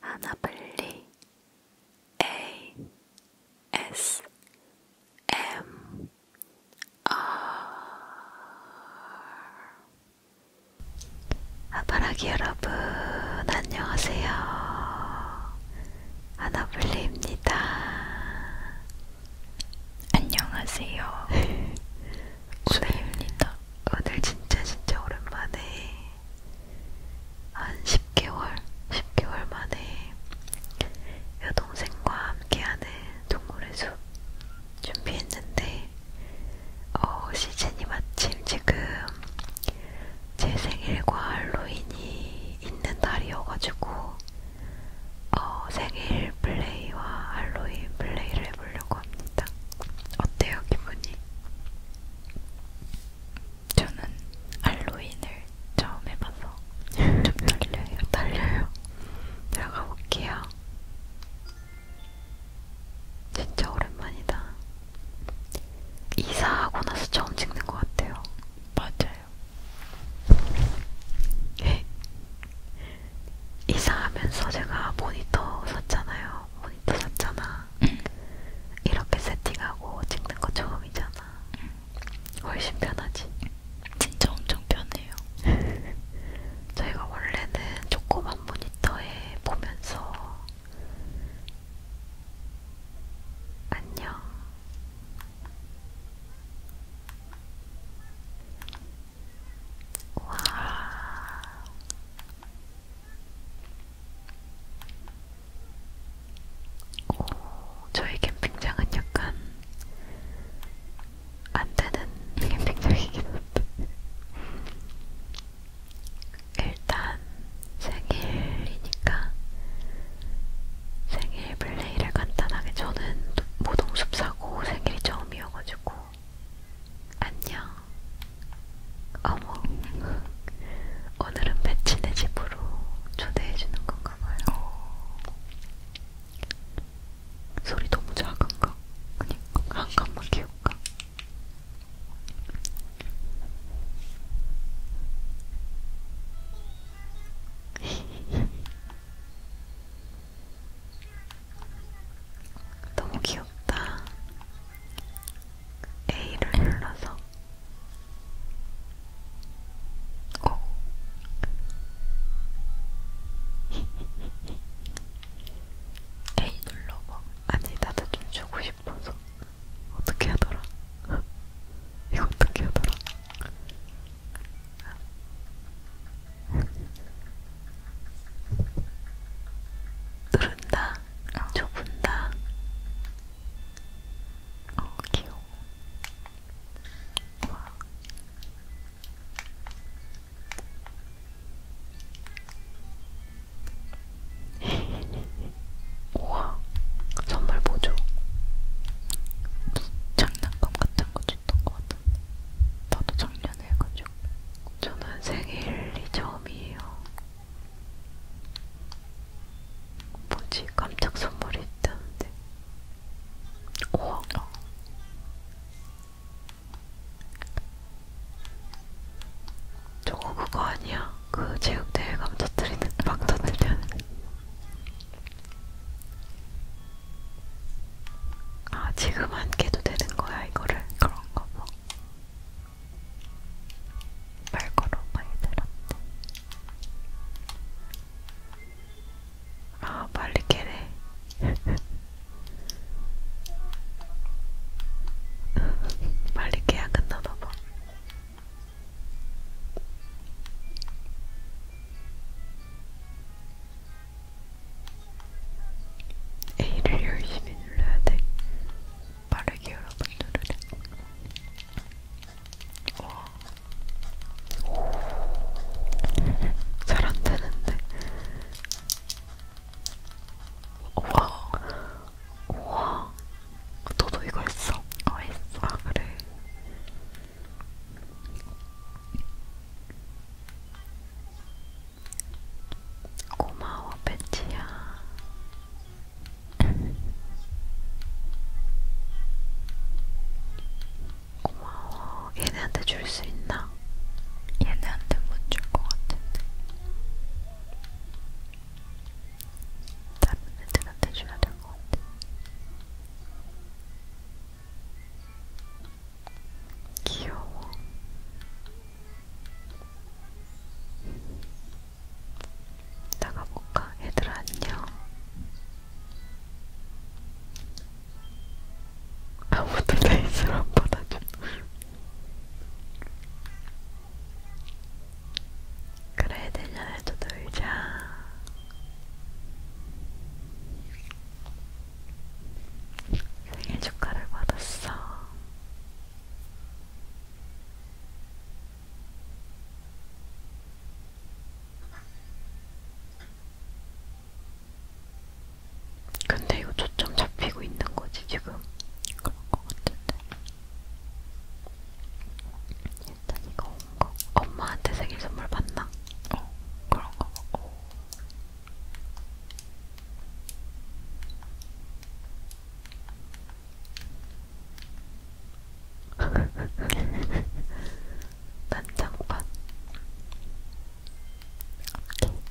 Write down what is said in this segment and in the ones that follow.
하나블리 A S M R 아바라기 여러분 안녕하세요 하나블리입니다 안녕하세요 오늘입니다 오늘 진짜 진짜 오랜만에 한 10개월, 10개월 만에 여동생과 함께하는 동물의 숲 준비했는데 어, 시즌이 마침 지금 제 생일과 할로윈이 있는 날이어가지고 어, 생일 플레이와 할로윈 플레이를 해보려고 합니다. 어때요 기분이? 저는 알로인을 처음 해봐서 좀 떨려요. 떨려요. 들어가 볼게요. 진짜 오랜만이다. 이사하고 나서 처음 찍는 것 같아요. 맞아요. 네. 이사하면서 제가 모니터 샀잖아요. 모니터 샀잖아. 응. 이렇게 세팅하고 찍는 거 처음이잖아. 응. 훨씬 편하지. 진짜 엄청 편해요. 저희가 원래는 조그만 모니터에 보면서 안녕. 와 오, 저희 캠핑장은 약간 안 되는 캠핑장이긴 한데. 일단 생일이니까 생일 플레이를 간단하게 저는 모동숲 사고 생일이 처음이어가지고 안녕. 어머, 오늘은 배치네 집으로 초대해주는 건가 봐요. 소리 너무 작은가? 그니까 한 칸만 키울까? 너무 귀엽다. A를 눌러서 오 A 눌러봐 아니 나도 좀 주고 싶어서 어떻게 하더라? 이거 어떻게 하더라? 누른다 분당, 어, 저 분당. 어, 귀여워. 와. 우와, 선물 보조. 장난감 같은 거 줬던 거 같은데. 나도 작년에 읽어줘. 저는 생일이 처음이에요. 뭐지? 깜짝 선물이 있다는데. 우와. 저거 그거 아니야? 그 체육대회 감 터뜨리는 막 터뜨리는 아 지금 안 깨도 되는 거야 이거를 그런가 봐 말걸어 말들었네. 아 빨리 깨래. 빨리 깨야 끝나나봐. A를 열심히 눌러야 돼. 빠르게 여러분 누르래. 어. 와. 잘안 되는데. 와. 와. 너도 이거 했어? 어, 했어. 아, 그래. 고마워, 배치야. 고마워. 얘네한테 줄 수 있나? 얘네한테 못 줄 것 같은데. 다른 애들한테 줘야 될것 같아. 귀여워. 나가볼까? 얘들아 안녕 아무도 레이스를 안 받아줘 그래 내년에도 놀자 생일 축하를 받았어 근데 이거 초점 잡히고 있는 거지 지금 그런 거 같은데 일단 이거 온 거. 엄마한테 생일 선물 받나? 어 그런 거. 오. 난장판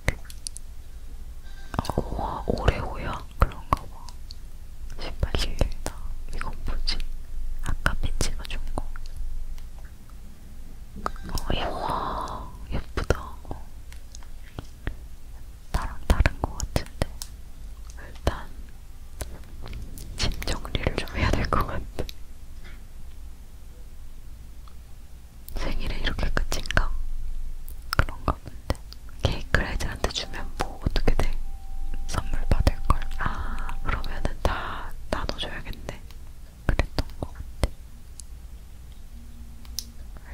케이크 어, 우와 오레오야? 그런가 봐 신발 신겠다 이건 뭐지? 아까 피치가 준거 어, 우와 예쁘다 어. 나랑 다른 것 같은데 일단 짐 정리를 좀 해야 될 것 같아. 생일에 이렇게 끝인가? 그런 거 없는데 케이크를 애들한테 주면 뭐 어떻게 돼? 선물 받을 걸? 아 그러면은 다 나눠줘야겠네. 그랬던 것 같아.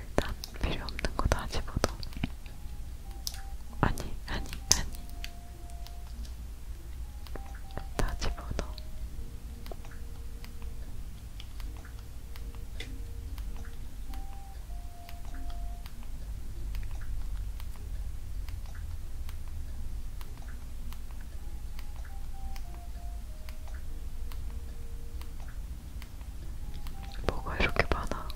일단 필요 없는 거다 집어도 아니 아니 아니 다 집어도 뭐가 이렇게 많아?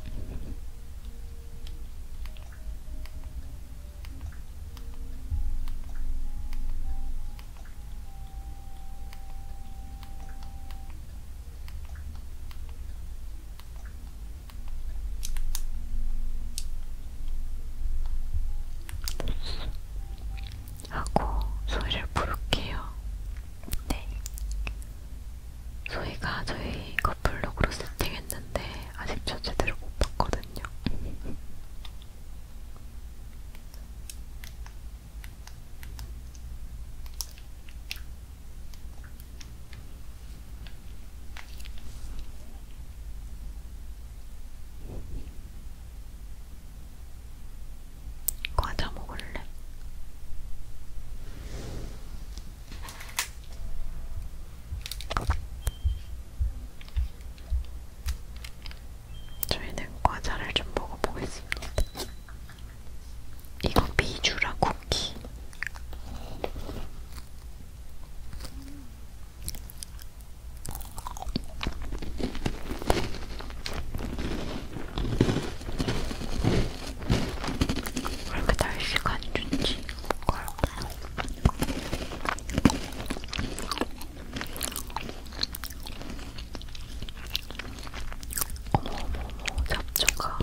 하고 소리를 부를게요. 네. 소희가 저희 커플룩으로 세팅했는데 아직 저 제대로 못 봤거든요. 과자 먹을래? 저희는 과자를 좀 먹어보겠습니다. 이거 미주라 쿠키. 왜 이렇게 날씨가 안 좋지? 뭔가 어머어머어머 잡초가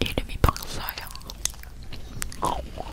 이름이 박사야. 동광인가?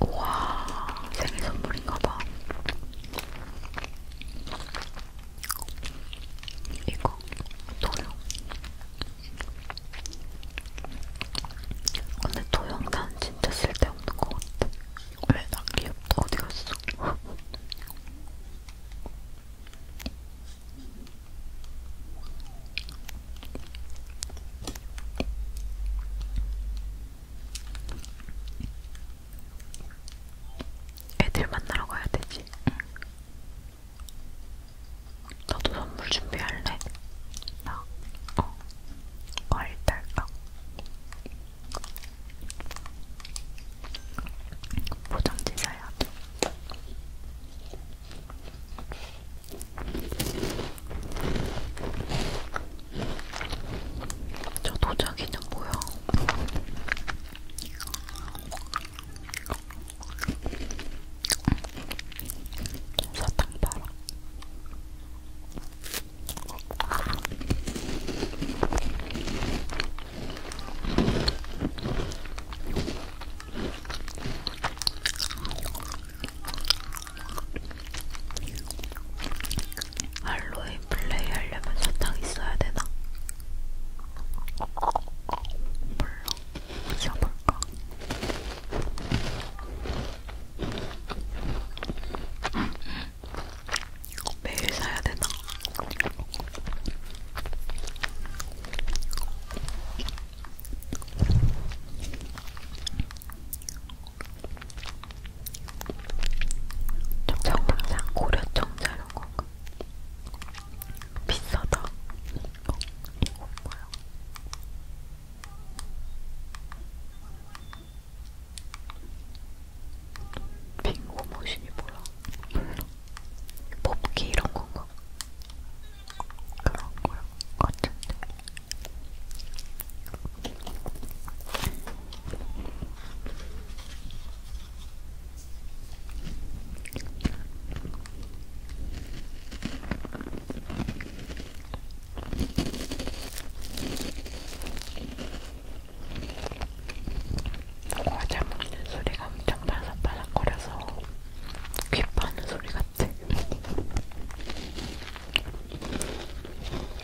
우와 생일 선물인가봐. 이거 도형. 근데 도형 난 진짜 쓸데없는 것 같아. 왜나 귀엽다 어디 갔어? 애들 만나러 가야 되지. 응. 너도 선물 준비할래? 나? 어. 과일 어, 딸깍. 포장지 사야 돼. 저 도자기는 뭐야? 사탕 봐라. 할로윈 플레이 하려면 사탕 있어야 되나? 몰라. 어디서 볼까? 매일 사야 되나? 정상 고려청 자른 건가? 비싸다. 이거, 이거 뭐야? 빙고 머신이 뭐야? 몰라. 뽑기 이런 건가? 그런 거야. 같은데. 과자 먹는 소리가 엄청 바삭바삭거려서 귀 파는 소리 같아.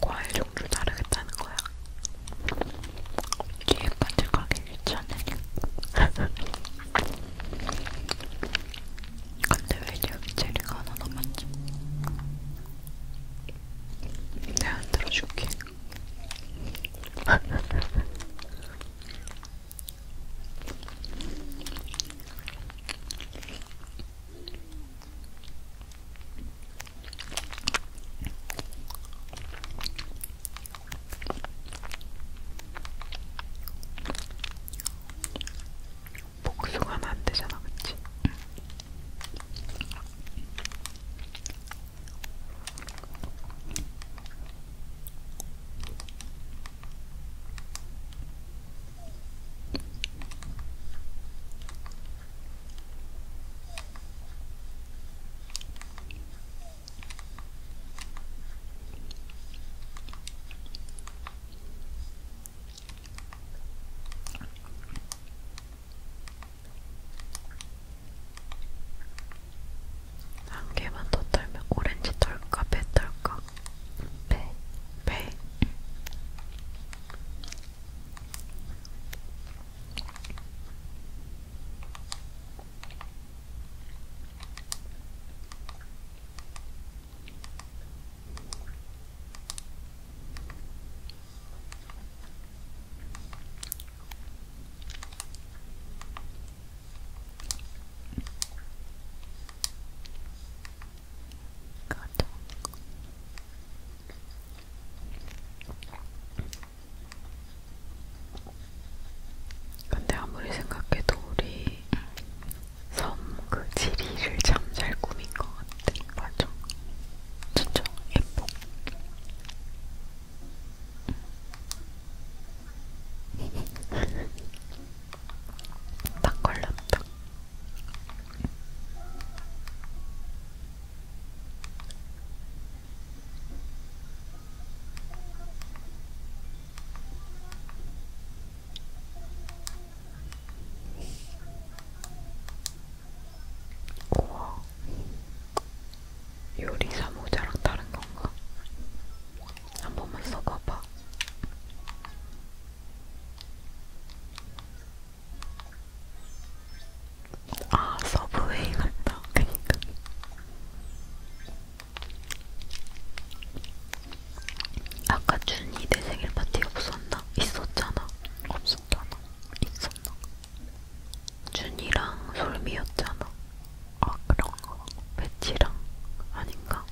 과일 종류 다르겠다는 거야. 뒤에 빠질 가기 귀찮으니. 근데 왜 여기 제리가 하나 남았지? 내가 들어줄게. 복숭아는 안 되잖아, 그치? 한 개만 더 털면 오렌지 털까 배 털까 배, 배. 가자. 근데 아무리 생각해도 우리 섬그 지리를 잠잘 꿈인 것 같아. 맞아. 진짜 예뻐. 음. 딱 걸렸다. 우와. 요리사 모자랑 다른 건가? 한 번만 써봐봐. 아, 서브웨이 같다. 그니까. 아까 준이 내 생일 파티 없었나? 있었잖아. 없었잖아. 있었나? 준이랑 솔미였잖아. 아 그런가? 배치랑 아닌가?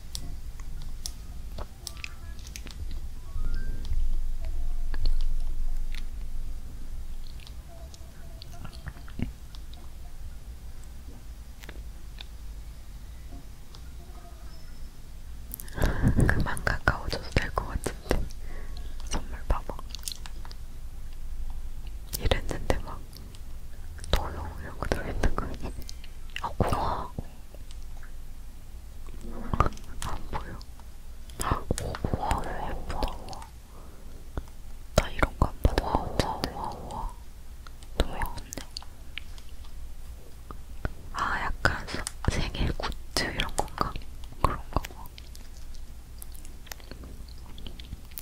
그만 가까워져도 될 것 같은데 선물 봐봐 이랬는데 막 도용 이런 거 들어있는 거 아니야? 아 고마워 안 보여 오, 아, 우와 예쁘다 우와 나 이런 거안 받아봤는데 우와 우와 우와 너무 귀엽네. 아, 약간 생일 굿즈 이런 건가? 그런 거고. 뭐.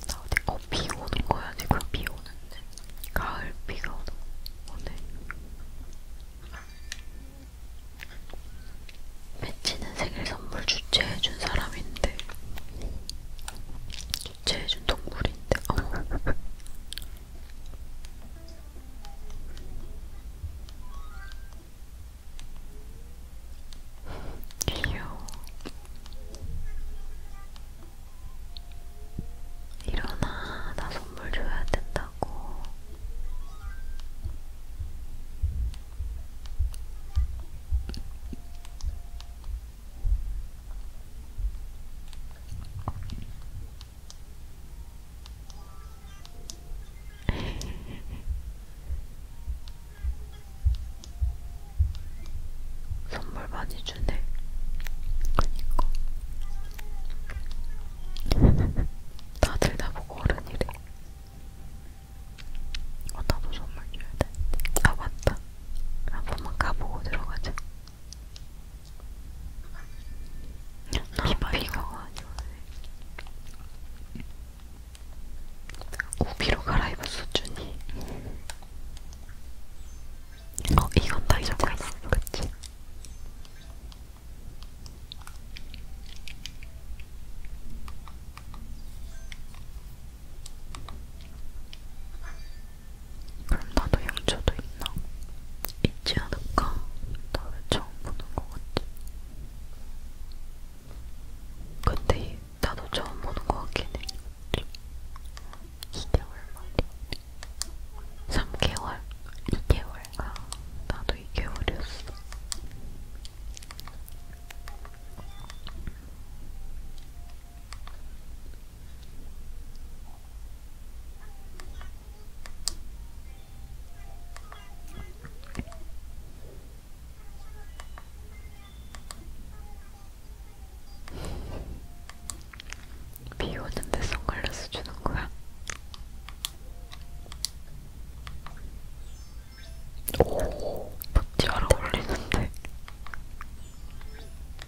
나 어디, 어, 비 오는 거야, 지금 비 오는데. 가을 비가 오는 오네. 배치는 생일 선물 주최해준 사람인데, 주최해준 동물인데, 어. 귀여워. 일어나, 나 선물 줘야 된다고. 선물 많이 주네. 그니까. 다들 나보고 어른이래. 어, 나도 선물 줘야 되는데. 아, 맞다. 한 번만 가보고 들어가자. 비가 우비로 갈아입었어 준이. 어 이건 다 잊어버렸어, 그렇지? 그럼 나도 형초도 있나? 있지 않을까? 나왜 처음 보는 것 같지? 근데 나도 처음 보는 것 같긴 해. 2개월 말이 3개월? 2개월? 아, 나도 2개월이었어. 비 오는데 선글라스 주는 거야? 오, 잘 어울리는데.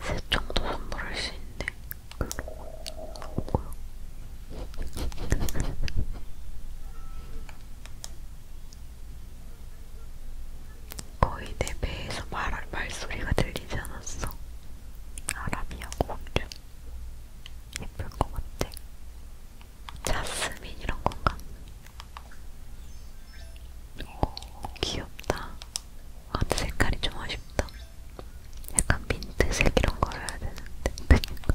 세 정도 선물할 수 있는데 뭐야? 거의 내 배에서 말 말소리가 들리지 않았어. 아람이하고 공주 예쁠 것 같아. 자스민 이런 건가? 오, 귀엽다. 아, 색깔이 좀 아쉽다. 약간 민트색 이런 거를 해야 되는데. 그니까.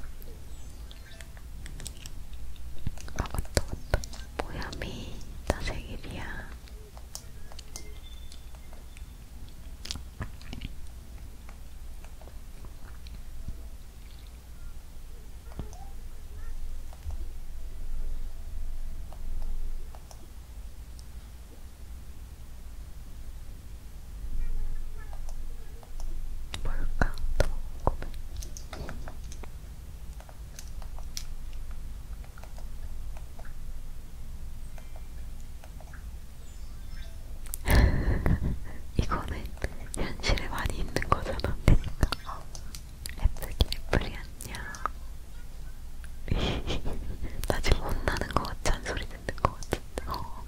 아, 맞다, 맞다. 모야미, 나 생일이야. 뭘까? 너무 궁금해. 이거는 현실에 많이 있는 거잖아. 그러니까. 애플이 애플이 안녕. 나 지금 혼나는 거 같지? 잔소리 듣는 거 같은데. 어.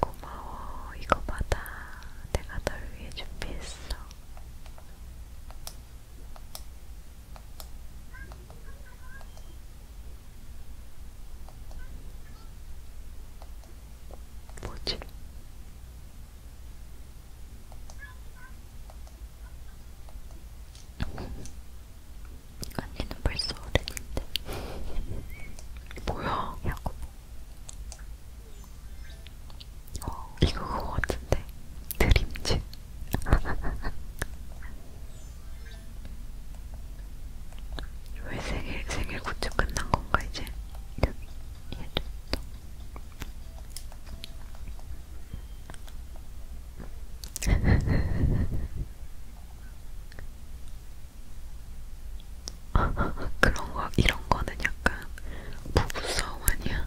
고마워. 이거 받아. 내가 널 위해 준비했어. 뭐지? 언니는 벌써 어른인데 뭐야? 야구 어, 이거 그거 같은데 드림집 왜 생일 생일 굿즈 끝난 건가 이제? 여기 얘도 있다. 그런 거 이런 거는 약간 부부 싸움 아니야?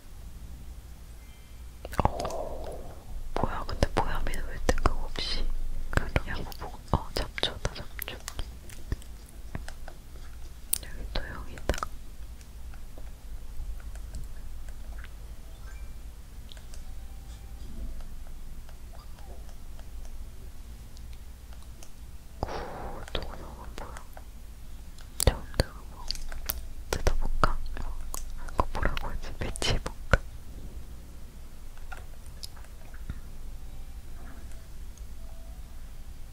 오, 뭐야, 근데 보야미는 왜 뜬금없이 그러냐고, 뭐, 어, 잡초다, 잡초. 여기 또 여기다. 구동영은 뭐야? 처음 들어보 뜯어볼까? 이거 뭐, 그 뭐라고 하지? 배치해볼까?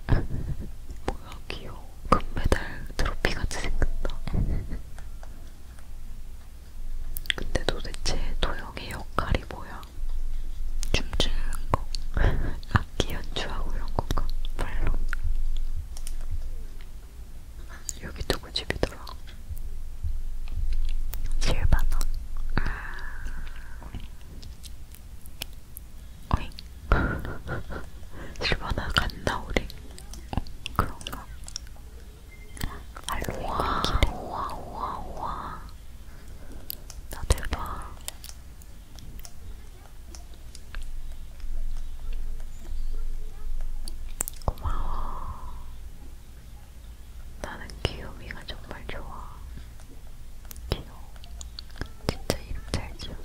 뭐야 귀여워 금메달 트로피같이 생겼다 근데 도대체 도영의 역할이 뭐야? 춤추는 거 악기 연주하고 이런 건가? 별로. 여기 누구 집이더라? 실바나. 어잉? 실바나 갔나 우리? 어, 그런가? 알로에 기대. 우와 우와 우와. 나 대박. 고마워. 나는 귀요미가 정말 좋아. 귀여워. 진짜 이름 잘 지었어.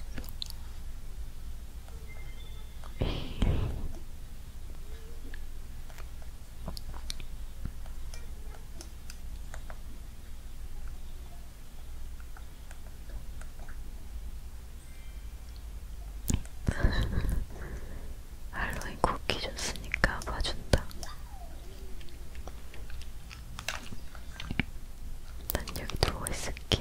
할로윈 쿠키 줬으니까 봐준다. 난 여기 누워 있을게.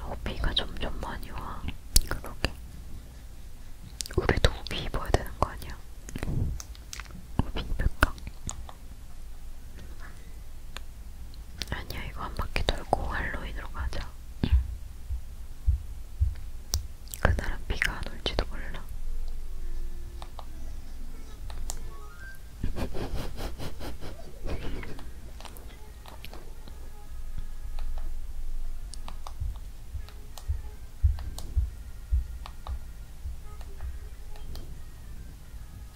어, 비가 점점 많이 와. 그러게. 우리도 우비 입어야 되는 거 아니야? 우비 입을까? 아니야, 이거 한 바퀴 돌고 할로윈으로 가자. 응. 그날은 비가 안 올지도 몰라.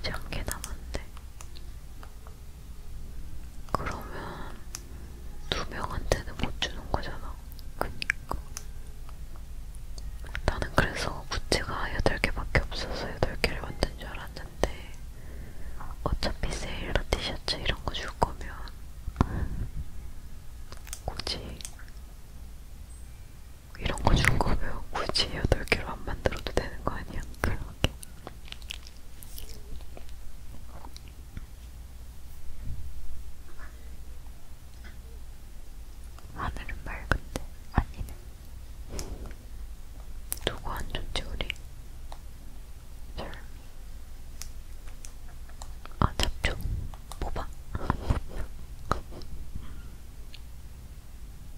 이제 한개 남았는데 그러면 두 명한테는 못 주는 거잖아. 그니까 나는 그래서 구찌가 8개밖에 없어서 8개를 만든 줄 알았는데 어차피 세일러 티셔츠 이런 거 줄 거면 굳이 이런 거 준 거면 굳이 8개로 안 만들어도 되는 거 아니야? 그러게. 하늘은 맑은데 아니네. 누구 안 좋지 우리? 절. 아 잡초. 뽑아. 뭐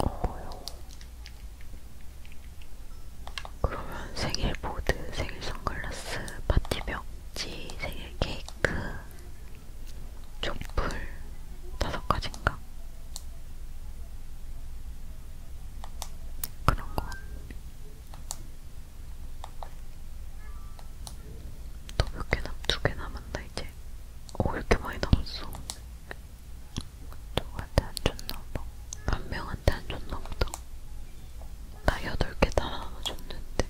오. 그러면 생일 보드, 생일 선글라스, 파티 벽지, 생일 케이크, 촛불 다섯 가지인가? 그런 거 더몇 개나? 두개 남았나 이제? 오 이렇게 많이 남았어. 누구한테 안 줬나봐. 한 명한테 안 줬나보다. 나 여덟 개 다 나눠줬는데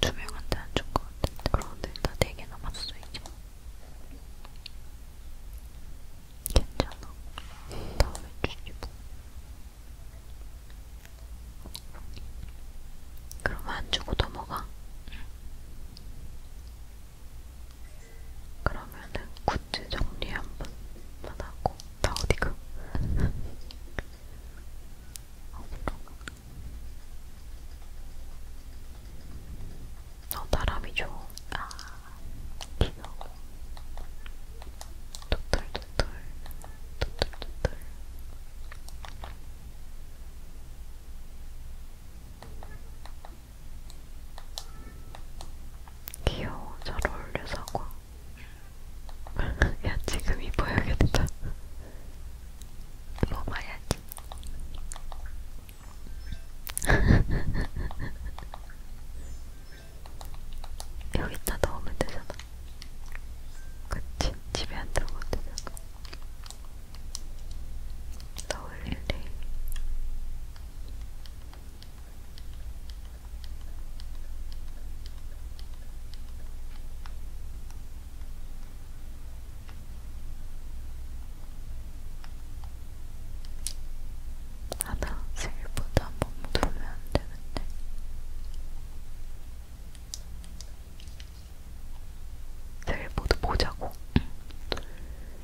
두 명한테 안준것 같은데. 그런데 나네개 남았어 이제. 괜찮아. 다음에 주지 뭐. 그럼 안 주고 넘어가. 그러면은 굿즈 정리 한번 하고 나 어디 가? 어디로 가? 어 나람이 좋아. 아. 귀여워. 도돌도돌, 도돌도돌. 귀여워, 잘 어울려, 사과. 야, 지금 입어야겠다. 먹어야지. 여기다 넣으면 되잖아. 그치? 집에 안 들어가도 되잖아. 넣을 일이. 하나 셀보다 한번 누르면 안 되는데. 셀보도 보자고. 둘,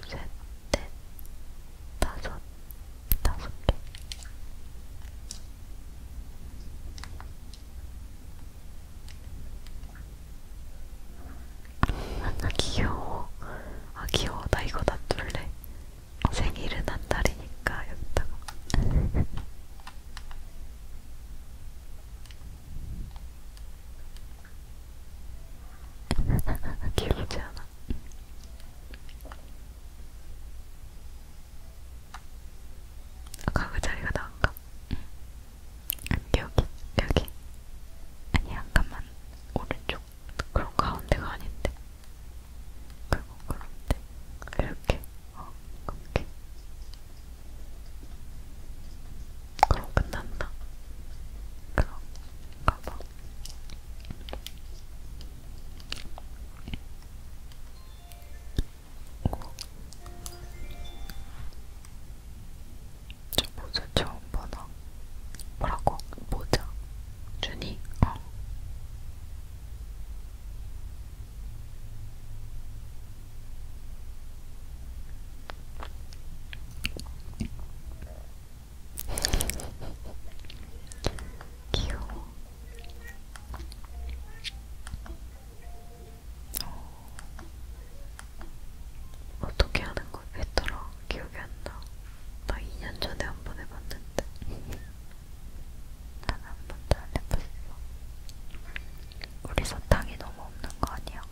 셋, 넷, 다섯, 다섯 개. 아 귀여워. 아 귀여워. 나 이거 놔둘래. 생일은 한 달이니까 여기다가 귀엽지 않아? 아까 그 자리가 나은가? 여기 여기 아니 잠깐만 오른쪽 그럼 가운데가 아닌데. 그리고 그런데 이렇게 어 그렇게. 그럼 끝났나? 그럼 가봐. 어. 저 무슨 저 어, 뭐다? 뭐라고? 모자? 준이? 어. 귀여워. 어. 어떻게 하는 그거 했더라 기억이 안 나. 나 2년 전에 한 번 해봤는데 난 한 번도 안 해봤어. 우리 사탕이 너무 없는 거 아니야?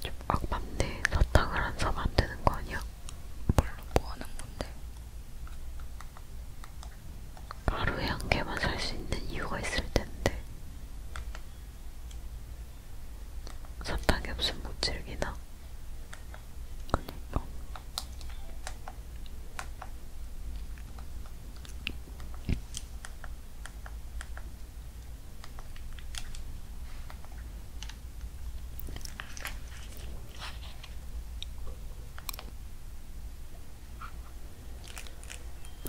좀 악맞네. 사탕을 안 사면 안 되는 거 아니야? 물론 뭐 하는 건데? 하루에 한 개만 살 수 있는 이유가 있을 텐데. 사탕이 없으면 못 즐기나? 그니까.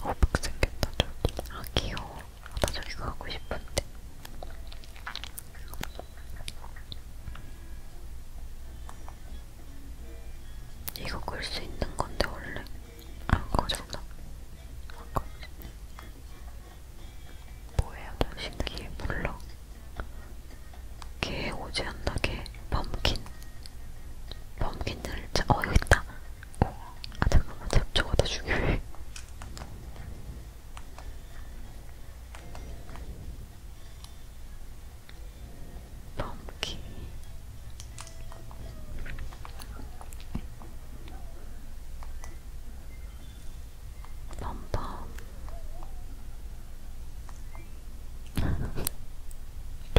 호박 생겼다 저기 아 귀여워 나 저기 가고 싶은데 이거 끌 수 있는 건데 원래 안 꺼졌나? 안 꺼졌네. 뭐예요? 나 신기해 몰라. 개 오지 않나 개 범킨 범킨 들자 어 여기 있다. 아 잠깐만 잡초가 더 중요해. 펌킨 펌펌 좋겠다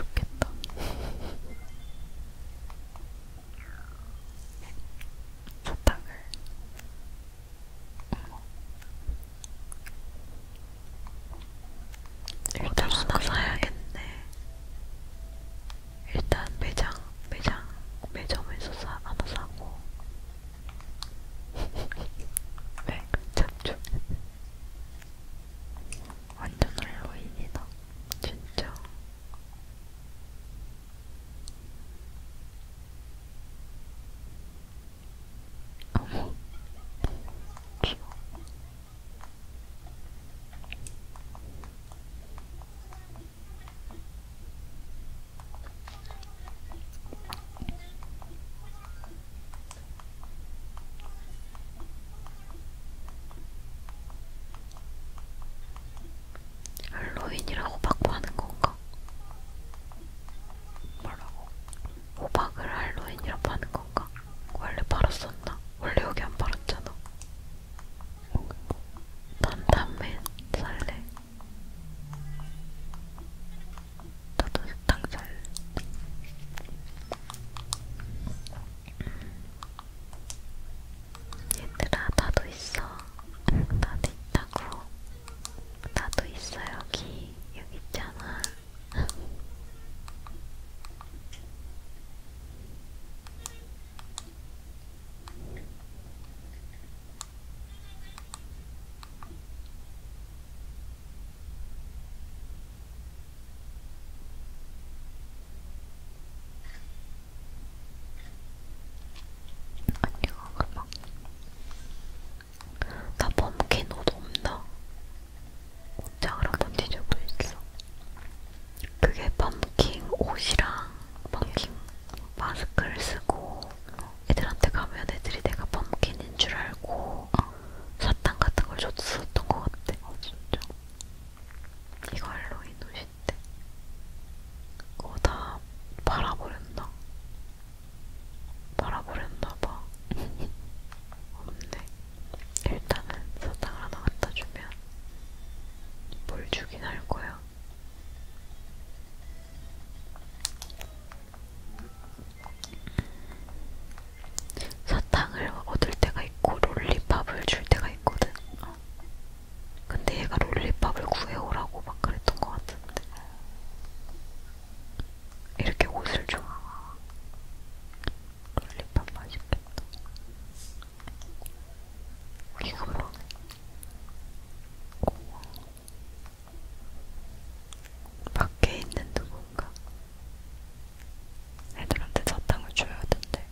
사탕을 일단 하나 어, 사야겠네. 일단 매장, 매장, 매점에서 사, 하나 사고. 왜? 네, 잡초. 완전 할로윈이다. 진짜. 어머 귀여워 할로윈이라고 바꿔 하는 건가? 그러니까 뭐라고? 호박을 할로윈이라 파는 건가? 원래 팔았었나? 원래 여기 안 팔았잖아. 난 담배 살래. 나도 식당 살래. 얘들아, 나도 있어. 나도 있다고. 나도 있어 여기 여기 있잖아. 언니가 그막 나 펌킨 옷 없나? 옷장을 한번 뒤져보고 있어. 그게 펌킨 옷이랑 펌킨 마스크를 쓰고 애들한테 가면 애들이 내가 펌킨인 줄 알고 어. 사탕 같은 걸 줬었던 것 같아. 어, 진짜. 이거 할로윈 옷인데. 그거 다 팔아버렸나? 말아버렸나봐. 없네. 일단은 사탕 하나 갖다 주면 뭘 주긴 할 거야. 사탕을 얻을 때가 있고 롤리팝을 줄 때가 있거든. 어. 근데 얘가 롤리팝을 구해오라고 막 그랬던 것 같은데. 이렇게 옷을 좋아하 롤리팝 맛있겠다. 이거 뭐? 고마워. 밖에 있는 누군가 애들한테 사탕을 줘야 된대.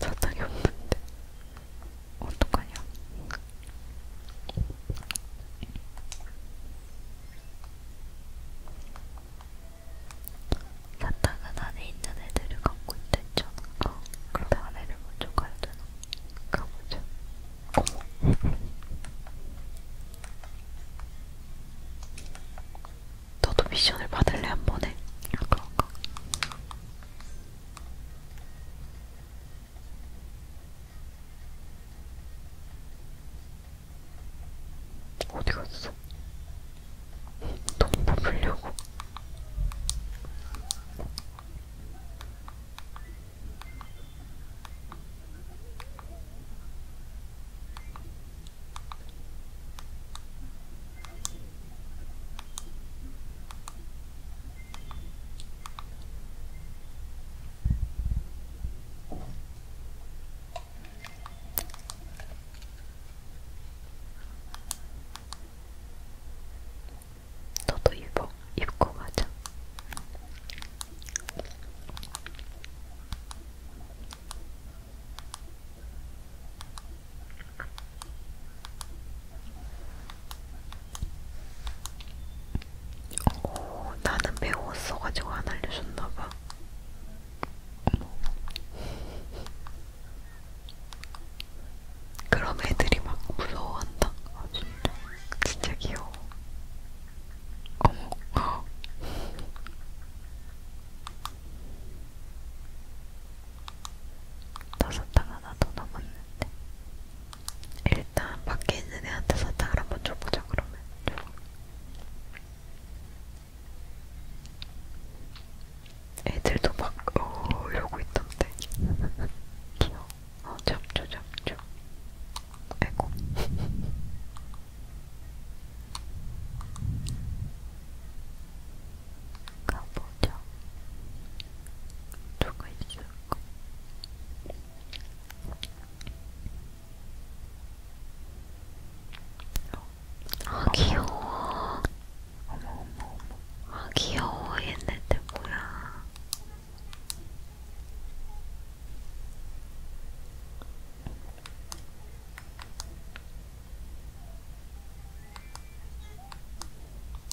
사탕이 없는데 어떡하냐? 사탕은 안에 있는 애들을 갖고 있댔잖아. 어, 그럼 그 안에를 먼저 가야 되나? 가보자. 어머. 너도 미션을 받을래 한 번에? 아, 그런가? 어디 갔어? 돈 뽑으려고. 너도 입어, 입고 가자. 오, 나는 배웠어가지고 안 알려줬나봐. 그럼 애들이 막 무서워한다. 아, 진짜. 진짜 귀여워. 어머, 어. 다섯 달 하나 더 남았는데. 일단 밖에 있는 애한테 사탕을 한번 줘보자 그러면 애들도 막 어, 이러고 있던데 귀여워 어 잡죠 잡죠 아이고 가보자 누가 있을까 아 귀여워. 어머 어머 어머. 아 귀여워 얘네들 뭐야.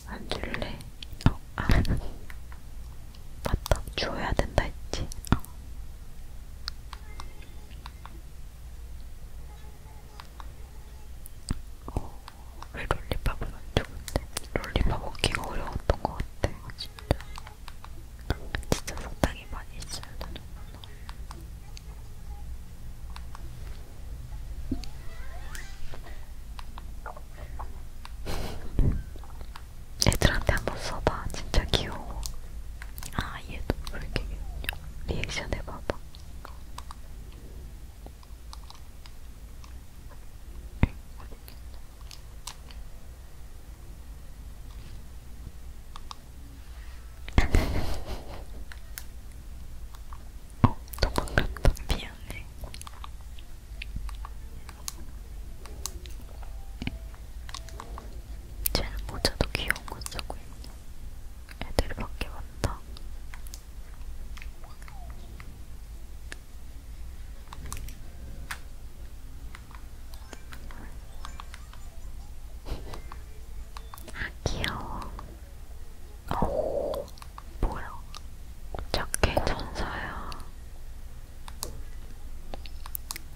안 줄래? 어, 아, 맞다. 주워야 된다 했지. 어. 어, 왜 롤리팝은 안 좋은데? 롤리팝 먹기가 어려웠던 것 같아. 진짜. 진짜 사탕이 많이 있어야 되는구나. 애들한테 한번 써봐. 진짜 귀여워. 아, 얘도 왜 이렇게 귀엽냐. 리액션 해봐봐. 어, 도망갔다. 미안해. 쟤는 모자도 귀여운 거 쓰고 있네. 애들이 밖에 많다. 아, 귀여워. 오, 뭐야? 저게 천사야.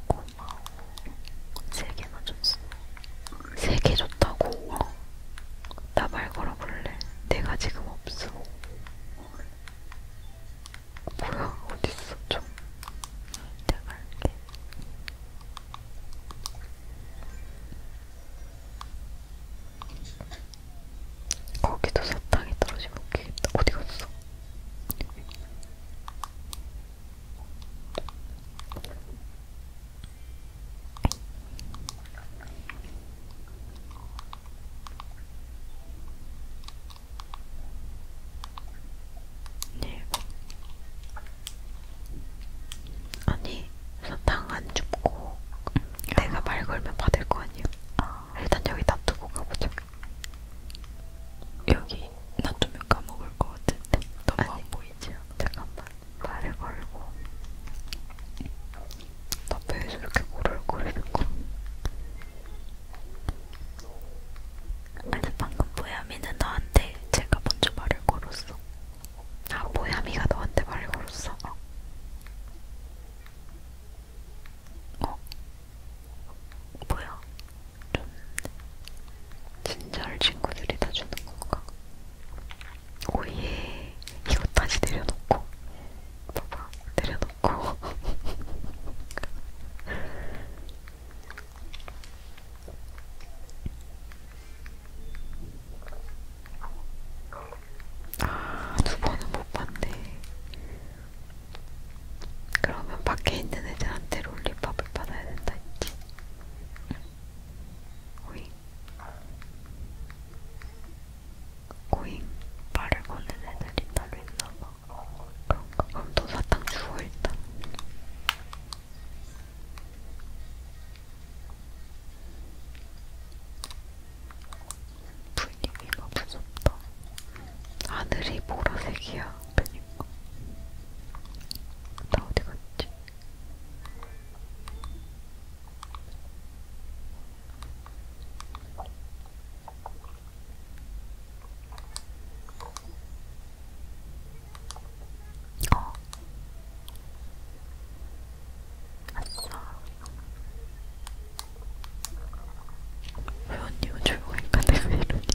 고마워. 세 개나 줬어. 세개 줬다고? 나 말 걸어볼래? 내가 지금 없어. 뭐야? 어딨어? 좀. 내가 할게. 거기도 사탕이 떨어지고 어디 갔어? 네. 아니 사탕 안 줍고 내가 말 걸면 받을 거 아니야? 아. 일단 여기 놔두고 가보자. 여기 놔두면 까먹을 것 같은데 너무 아니, 안 보이지? 잠깐만 말을 걸고 나 배에서 이렇게 고를거리는 거 아니 방금 보야미는 너한테 제가 먼저 말을 걸었어 아 보야미가 너한테 말을 걸었어 어? 어? 어, 뭐야? 좀 진절 친구들이 다 주는 건가? 오예 이거 다시 내려놓고 봐봐 내려놓고 아 두 번은 못 봤네. 그러면 밖에 있는 애들한테 롤리팝을 받아야 된다 했지. 오잉. 오잉. 발을 거는 애들이 따로 있나봐. 그런가? 그럼 너 사탕 주워 일단. 분위기가 무섭다. 하늘이 보라색이야. 그러니까. 나 어디 갔지? 어. 아싸, 회원님은 조용하니까 내가 이러니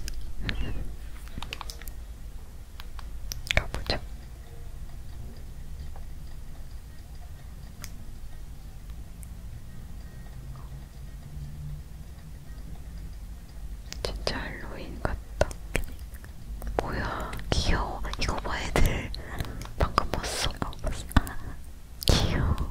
가보자 진짜 할로윈 같다 뭐야 귀여워 이거 봐 뭐 애들 방금 봤어 아, 봤어 아, 귀여워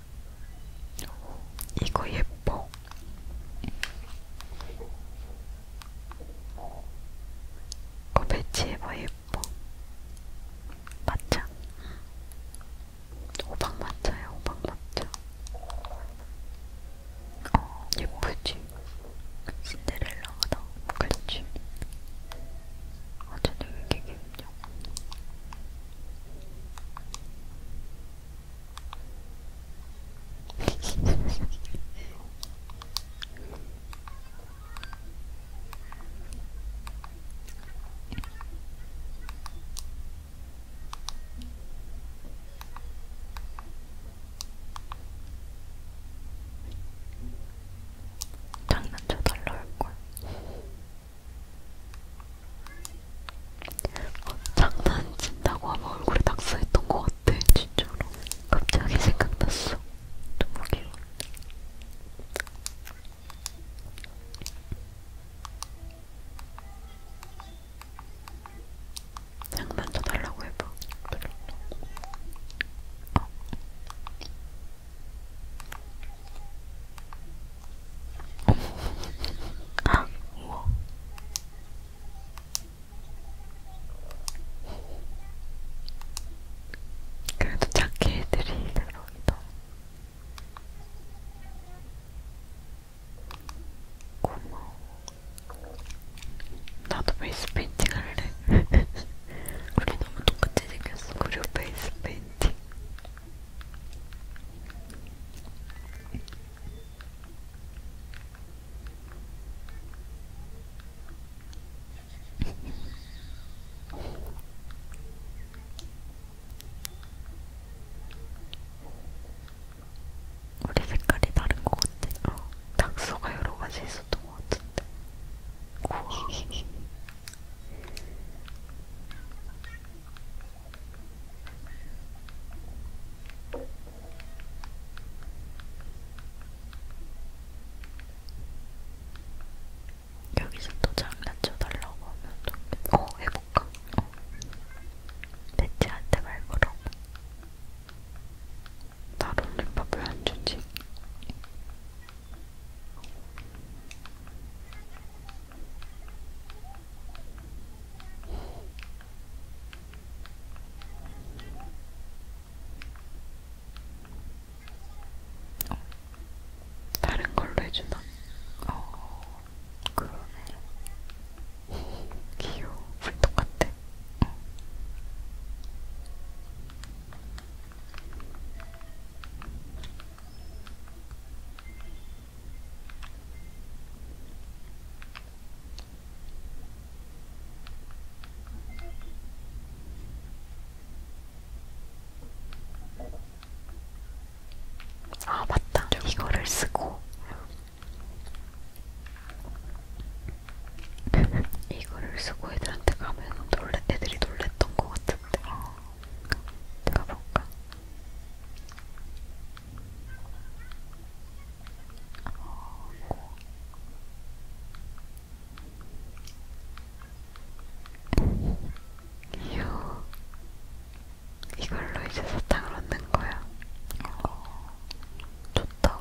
이거 예뻐. 이거 어, 배치해봐 예뻐. 맞자. 호박 맞자야 호박 맞자. 어 예쁘지. 신데렐라가 너무 그렇지. 어제는 이게 기분이 장난쳐달라 할걸. 어, 장난친다고 아마 얼굴에 낙서했던 것 같아 진짜로 갑자기 생각났어 너무 귀여워 장난 쳐달라고 해봐 어. 우와. 그래도 작게 애들이 들어온다. 고마워. 나도 베이스 페인팅 할래. 우리 너무 똑같이 생겼어. 그리고 베이스 페인팅. 우리 색깔이 다른 것 같아. 어, 낙서가 여러 가지 있었던 것 같은데. 우와. 여기서 또 장난쳐 달라고 하면 또 어, 해볼까? 어. 대체한테 말 걸어. 다른 립밥을 안 주지. 어, 다른 걸로 해주나? 어, 그러네. 귀여워. 불 똑같아. 어. 아 맞다 이거를 쓰고 이거를 쓰고 애들한테 가면 놀래, 애들이 놀랬던 것 같은데 어, 그러니까. 내가 볼까? 어... 이걸로 이제 사탕을 얻는 거야. 어... 좋다.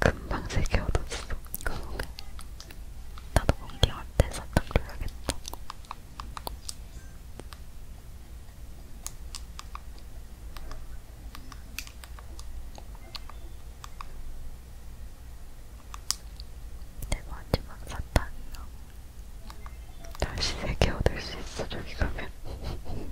금방 색이 어두졌어 그러네. 나도 공기할 때 살짝 넣어야겠다. 내 마지막 사탕이야. 다시 세개 얻을 수 있어, 저기 가면.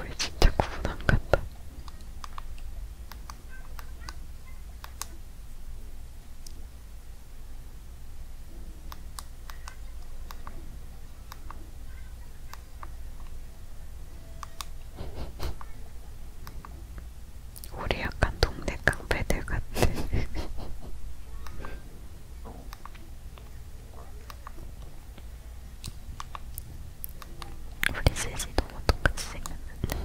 우리 진짜 구분 안 간다. 우리 약간 동네 깡패들 같은 우리 셋이 너무 똑같이 생겼는데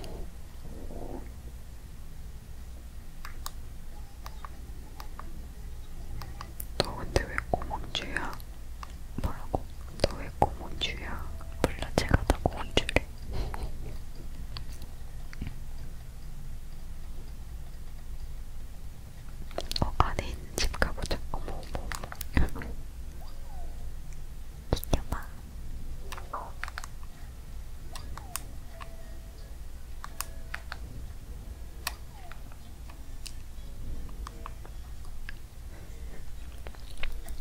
너 근데 왜 꼬몽주야? 뭐라고? 너 왜 꼬몽주야? 몰라 제가 다 꼬몽주래 어 안에 있는 집 가보자 어머 어머 어머 기겨봐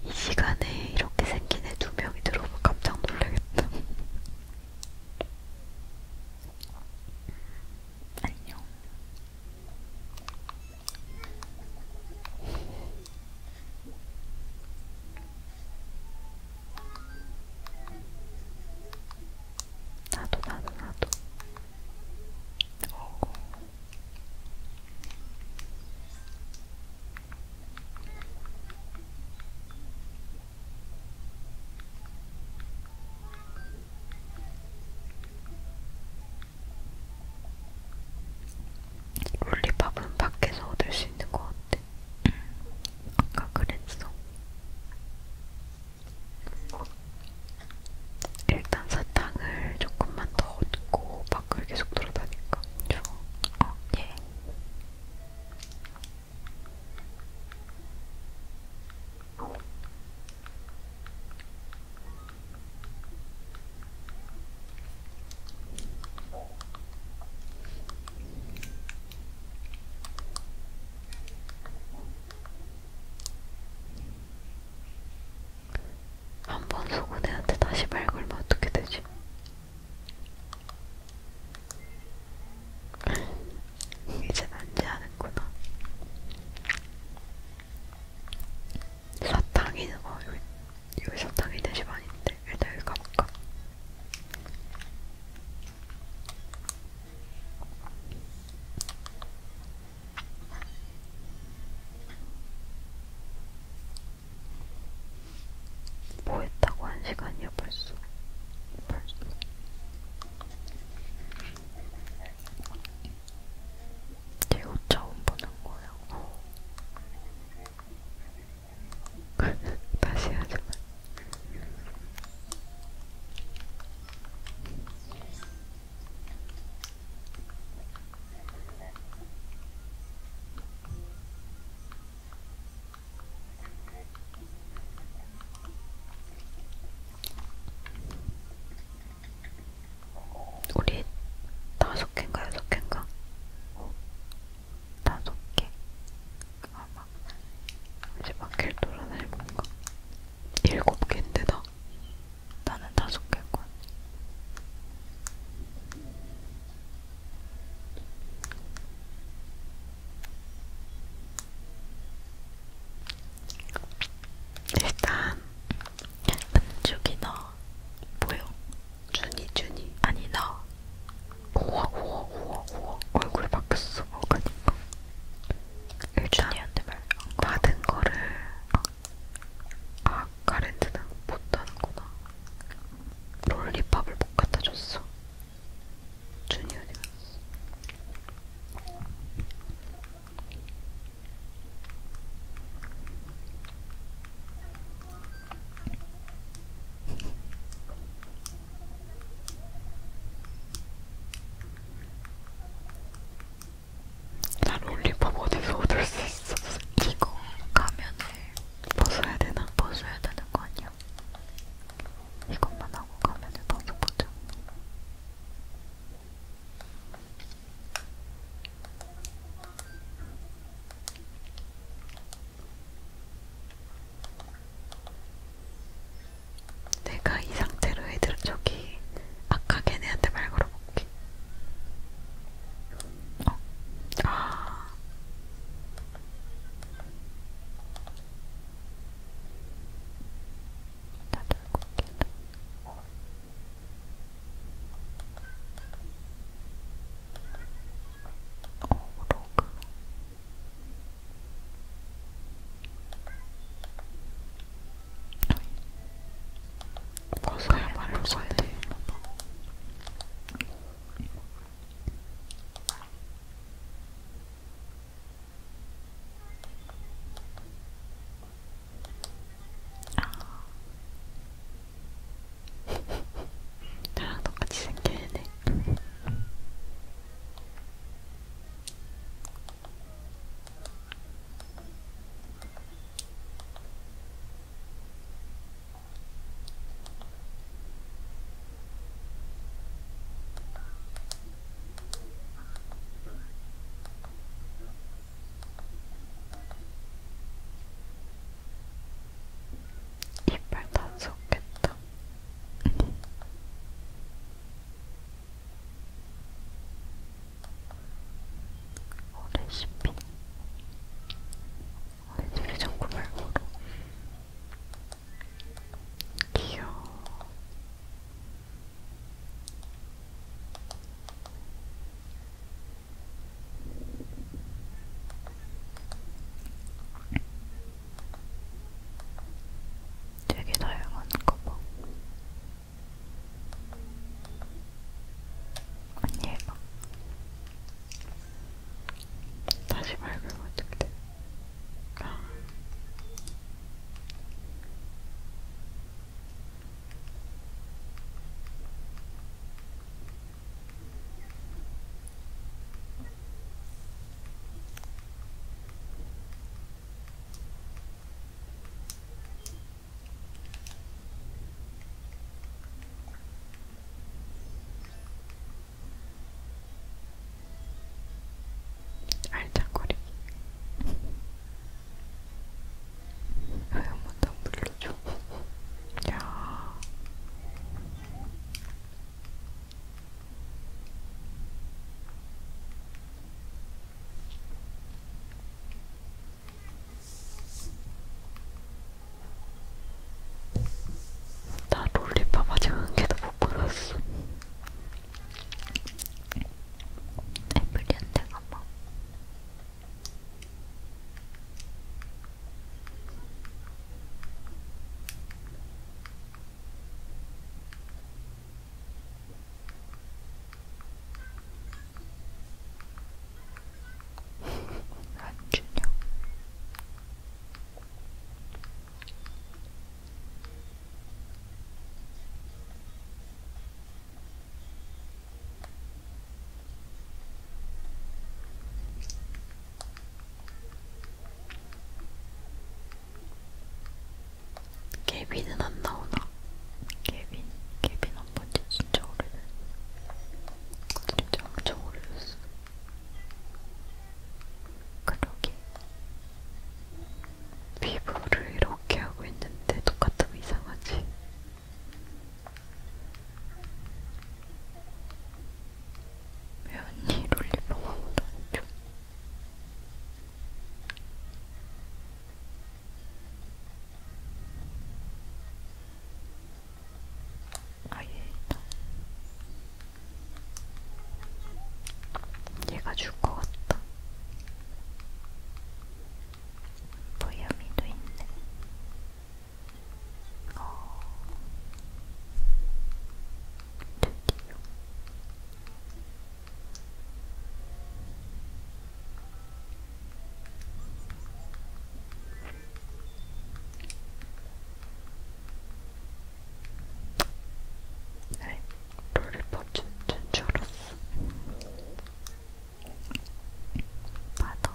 이 시간에 이렇게 생긴 애 두 명이 들어오면 깜짝 놀라겠다. 안녕. 나도 나도 나도. 롤리팝은 밖에서 얻을 수 있는 것 같아. 아까 그랬어. 일단 사탕을 조금만 더 얻고 밖을 계속 돌아다니까 좀 어, 예. 어, 한번 속은 애한테 다시 말 걸면 어떻게 되지? 이젠 안지하는구나. 사탕이, 어, 뭐 여기, 여기 사탕이 내집 아닌데. 일단 여기 가볼까? 뭐 했다고 한 시간이야 벌써? 벌써. 내옷 처음 보는 거야. 다시 하지만 우리 다섯 개인가 여섯 개인가? 다섯 개 아마 이제 마켓 돌아다니는 건가? 일곱 개인데다 나는 다섯 개고. 일단 은죽이 너 뭐요? 준이 준이 아니 너 우와 우와 우와 우와 얼굴 바뀌었어 어, 그니까 일단 받은 거를 아 가랜드는 못하는구나 롤리팝을 못 갖다줬어 준이 어디 갔어 나 롤리팝 어디서 얻을 수 있어? 이거 가면을 벗어야 되나? 벗어야 되는 거 아니야? 이것만 하고 가면을 벗어보자. 내가 이 상태로 애들 저기 아까 걔네한테 말 걸어볼게. 어? 아. 다들 고기다. 어, 로그. 벗어야 말을 써야 돼. 나랑 똑같이 생겨야 돼. 이빨 다 썩겠다. 어, 레시피 아니 되게 자꾸 말 걸어 귀여워 되게 다양한 가방 언니 해봐 다시 맑으면 어떻게 돼? 알짝거리기 아휴마다 물러줘 야나 롤리팝 아직 한 개도 못 받았어. 에브리한테 가봐. 안준영 개빈은 안 나오나? 개빈, 개빈 안 본지 진짜 오래됐어. 진짜 엄청 오래됐어. 그러게. 피부를 이렇게 하고 있는데 똑같으면 이상하지. 왜 언니 롤리팝 아무도 안 줘? 아예 있다. 얘가 줄 것 같다. 보야미도 있네. 어. 드디어 네, 롤리팝 진짜 줄 알았어. 받아.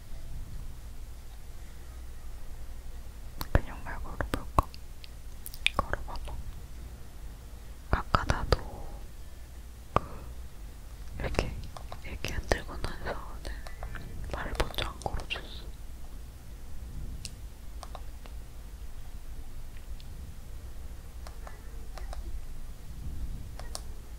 그냥 말 걸어볼까? 걸어봐봐. 아까 나도 그 이렇게 이렇게 흔들고 나서는 말을 먼저 안 걸어줬어.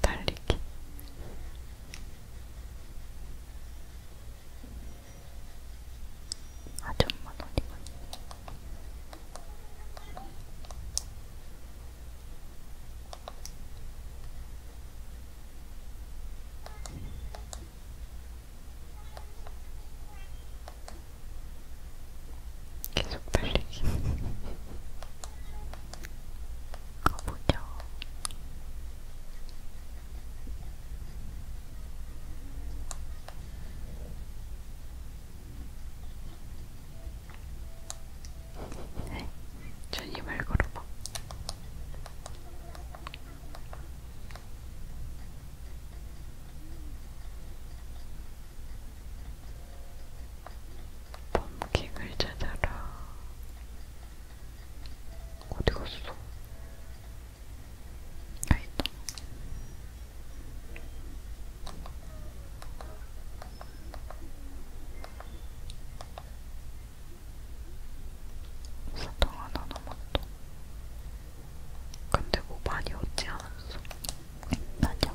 달리기 아 정말 어디만 계속 달리기 가보죠 네, 전이 말 걸어봐 펌킹을 찾아라. 어디 갔어? 아, 있다. 사탕 하나 남았다. 근데 뭐 많이 얻지 않았어. 맞아.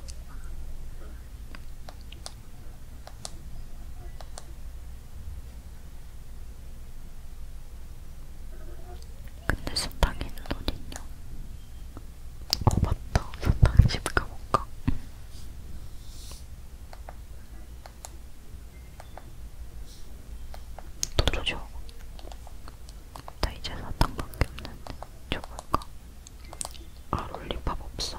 근데 수탉이는 어딨냐? 어 맞다. 수탉 집 가볼까? 도저죠. 나 이제 사탕밖에 없는데 줘볼까? 아 롤리팝 없어?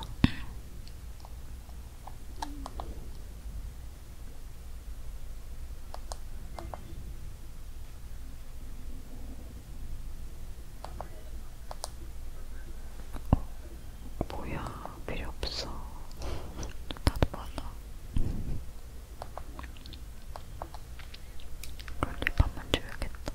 어, 뭐야 필요 없어. 나도 많아. 롤리팝만 줘야겠다.